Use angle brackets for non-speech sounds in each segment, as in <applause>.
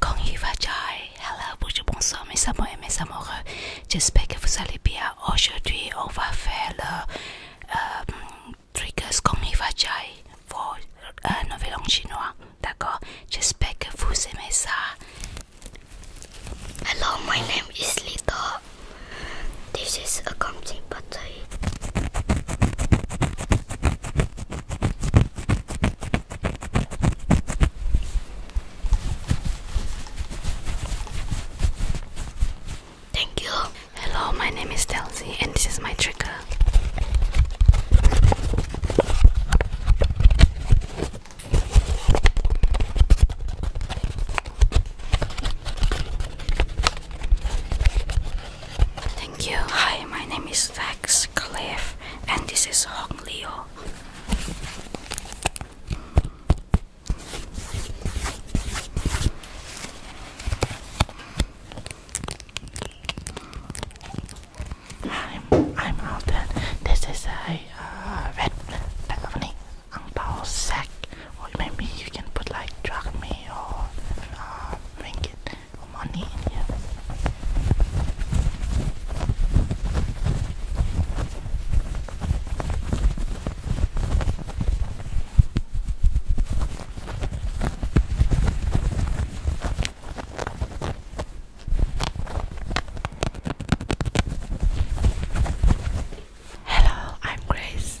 Konnichiwa jai, hello, bonjour, bonsoir mes amours et mes amoureux. J'espère que vous allez bien. Aujourd'hui, on va faire le euh, triggers Konnichiwa pour un euh, nouvel an chinois. D'accord J'espère que vous aimez ça. Hello, my name is Lita. This is a comfy party. Thank you. Hello, my name is Delcy, and this is my trigger. Thank you. Hi, my name is Vax Cliff, and this is Hong Leo. I'm, I'm out there. This is a uh, red Stephanie Angbao sack, or maybe you can put like drug me or uh, ringgit or money in here. Hello, I'm Grace.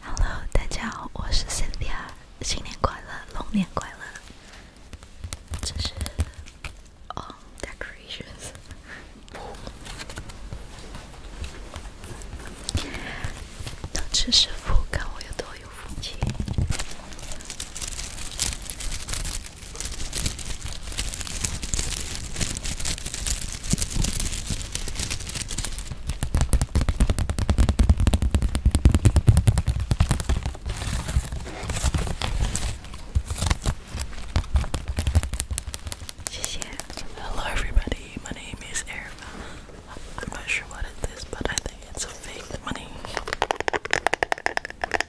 Hello，大家好，我是 Sandy 啊，新年快乐，龙年快乐！这是哦，decorations，能吃师傅看我有多有福气。Hello, everybody. My name is Erica. I'm not sure what it is, but I think it's fake money.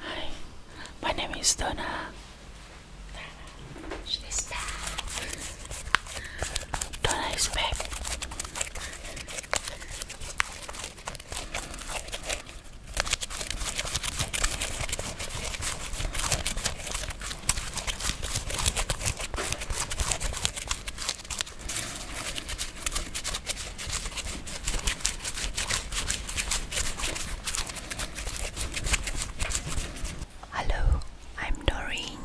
Hi, my name is Donna. She's back. Donna is back. Hello, I'm Doreen.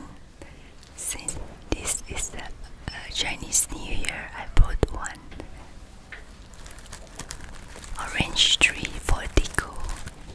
Since this is the uh, Chinese New Year, I bought one orange tree for deco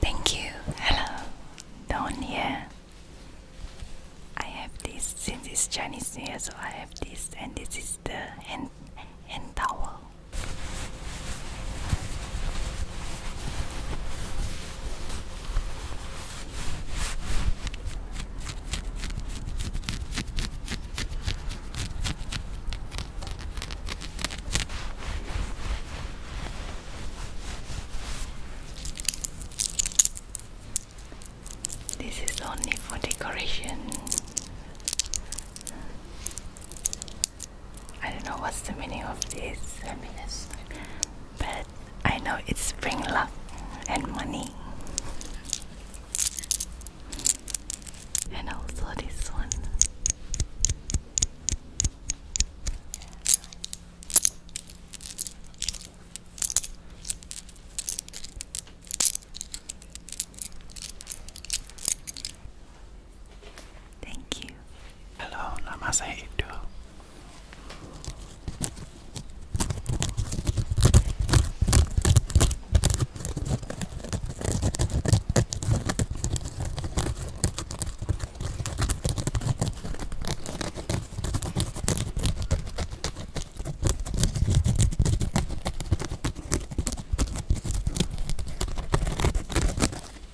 Thank you. Hello, Don I have this since it's Chinese New Year, so I have this, and this is the hand hand towel. This is only for decoration. I don't know what's the meaning of this, but I know it's bring luck and money. And also this one. Thank you. Hello, namaste.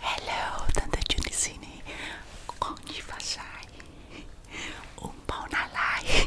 Hello, tante Giunicini, konnichiwa um un buon alai.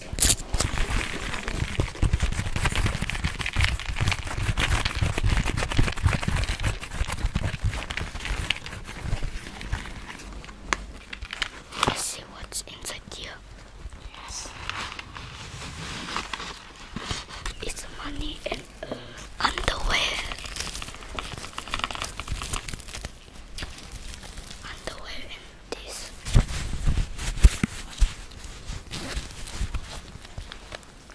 Let's see what's inside here. Yes. It's money and uh, underwear. Underwear this.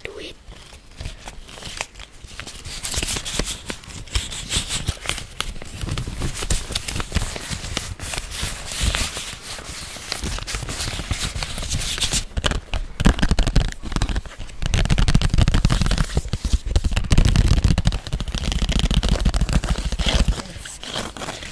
Do it.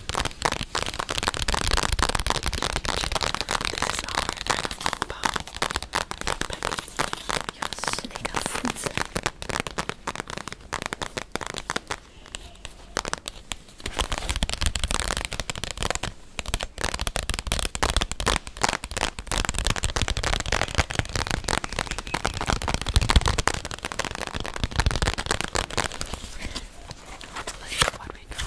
This is our animal pie. But your snake has Let's see what we got.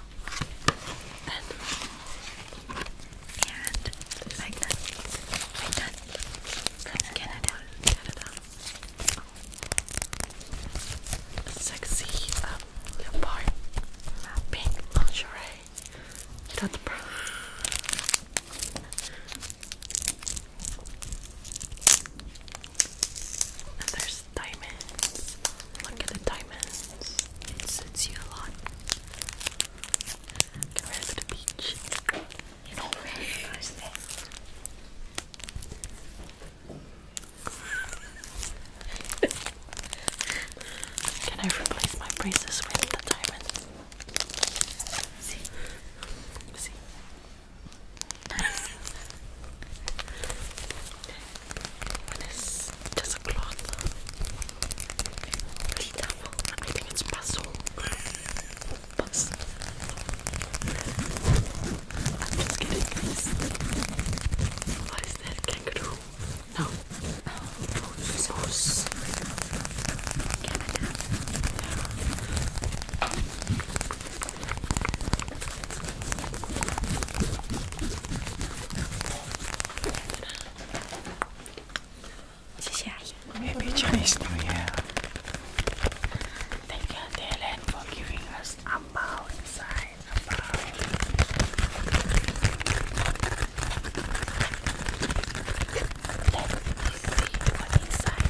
And like that. From Canada. Sexy um, leopard. Pink lingerie. That's brown diamonds. Look at the diamonds. It suits you a lot. Get ready to the beach. You know where is this? Can I replace my braces with the diamonds? See? See? <laughs> when just a cloth. I think it's puzzle. puzzle. I'm just What is that? Kangaroo? No. Moose. Oh, 谢谢阿姨。Happy Chinese New Year! Thank you, Dylan, for giving us a bow inside a bow. Let me see what inside.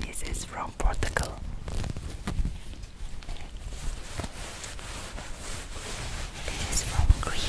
This is, from Portugal. This is from Greece.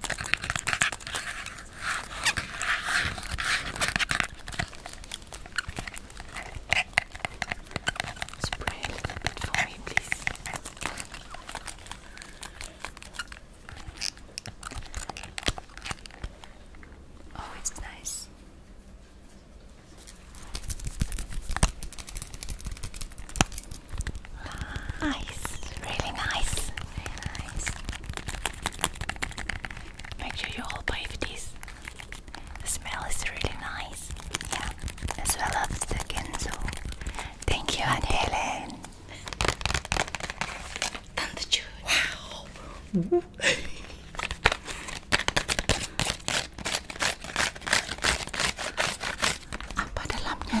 Spray a little bit for me, please. Oh, it's nice. Nice, really nice. Very nice. Make sure you all buy these. The smell is really nice. Yeah, as well as the Kenzo. Thank you, Aunt Helen. And Wow. Apa <laughs> dalamnya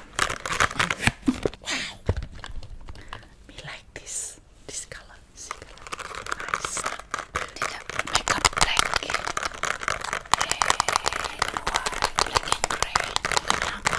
wow. Me like this. This color. This color. Nice. Did a makeup black. Red, black and gray. Wow. Wow.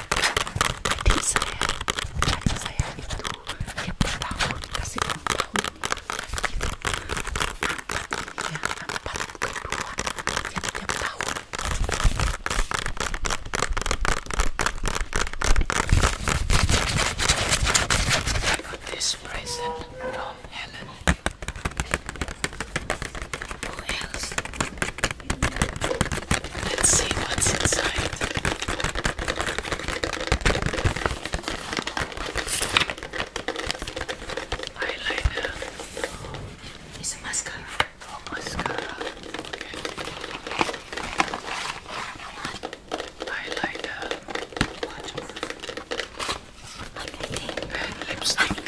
Tisaya, Tisaya itu yang bertahun kasih tahun gitu. Ya, empat bukan dua, ya tiap tahun. I got this present from Helen. Who else? Let's see what's inside. Eyeliner. It's a mascara. Oh, mascara. Eyeliner. What lipstick.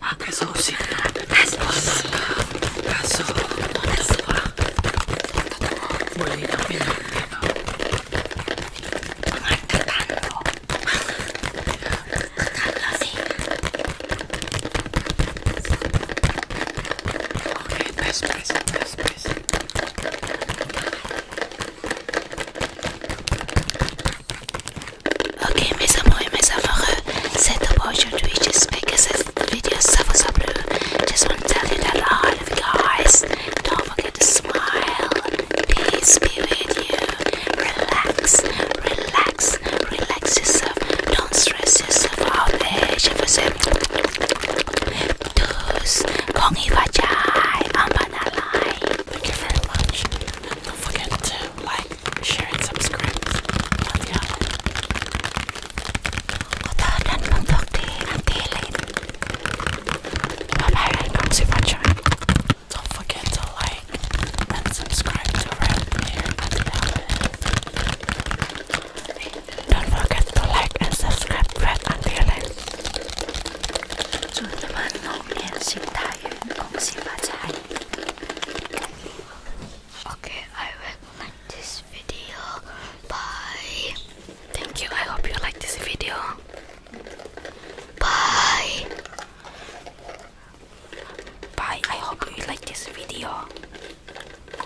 Akasovsi Asovsi Aso Totova Boleh kami Mengatakan Katakanlah sih Okay, press, press, press, press Ok mes amours et mes amoureux, c'est tout pour aujourd'hui, j'espère que cette vidéo ça vous a plu. Just want to tell you that I love you guys. Don't forget to smile, peace be with you. Relax, relax, relax yourself. Don't stress yourself out there. Je vous aime tous. Kongi Vajai, Ambanalai. Thank you very much. Don't forget to like, share, and subscribe. Love y'all. Udahan mong dokti ang kilid. Babayan kong si Pacha. Don't forget to like and subscribe to Red here at Don't forget to like and subscribe Red and Dylan. Okay, I will like this video. Bye. Thank you. I hope you like this video. Bye. Bye. I hope you like this video.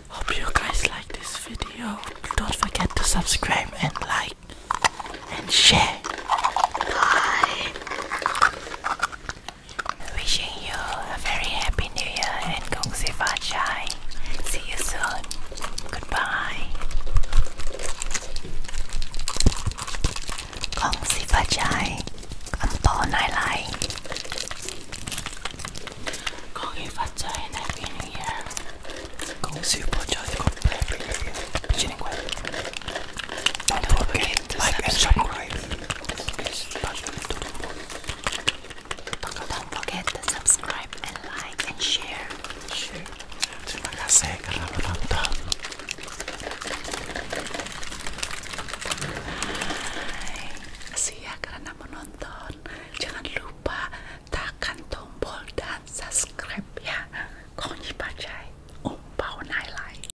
Hope you guys like this video. Don't forget to subscribe and like and share. Bye. Wishing you a very happy new year and Kung Si Fa Chai. See you soon. Goodbye. Kung Si Fa Chai. Ăn to nai lai. Kung Si Fa Chai Happy New Year. Kung Si Fa Chai. Happy New don't forget to like and subscribe. Don't forget to subscribe and like and share. Terima kasih kerana menonton. Hai, kasih kerana menonton. Jangan lupa tekan tombol dan subscribe ya. Kau ni pakai umpau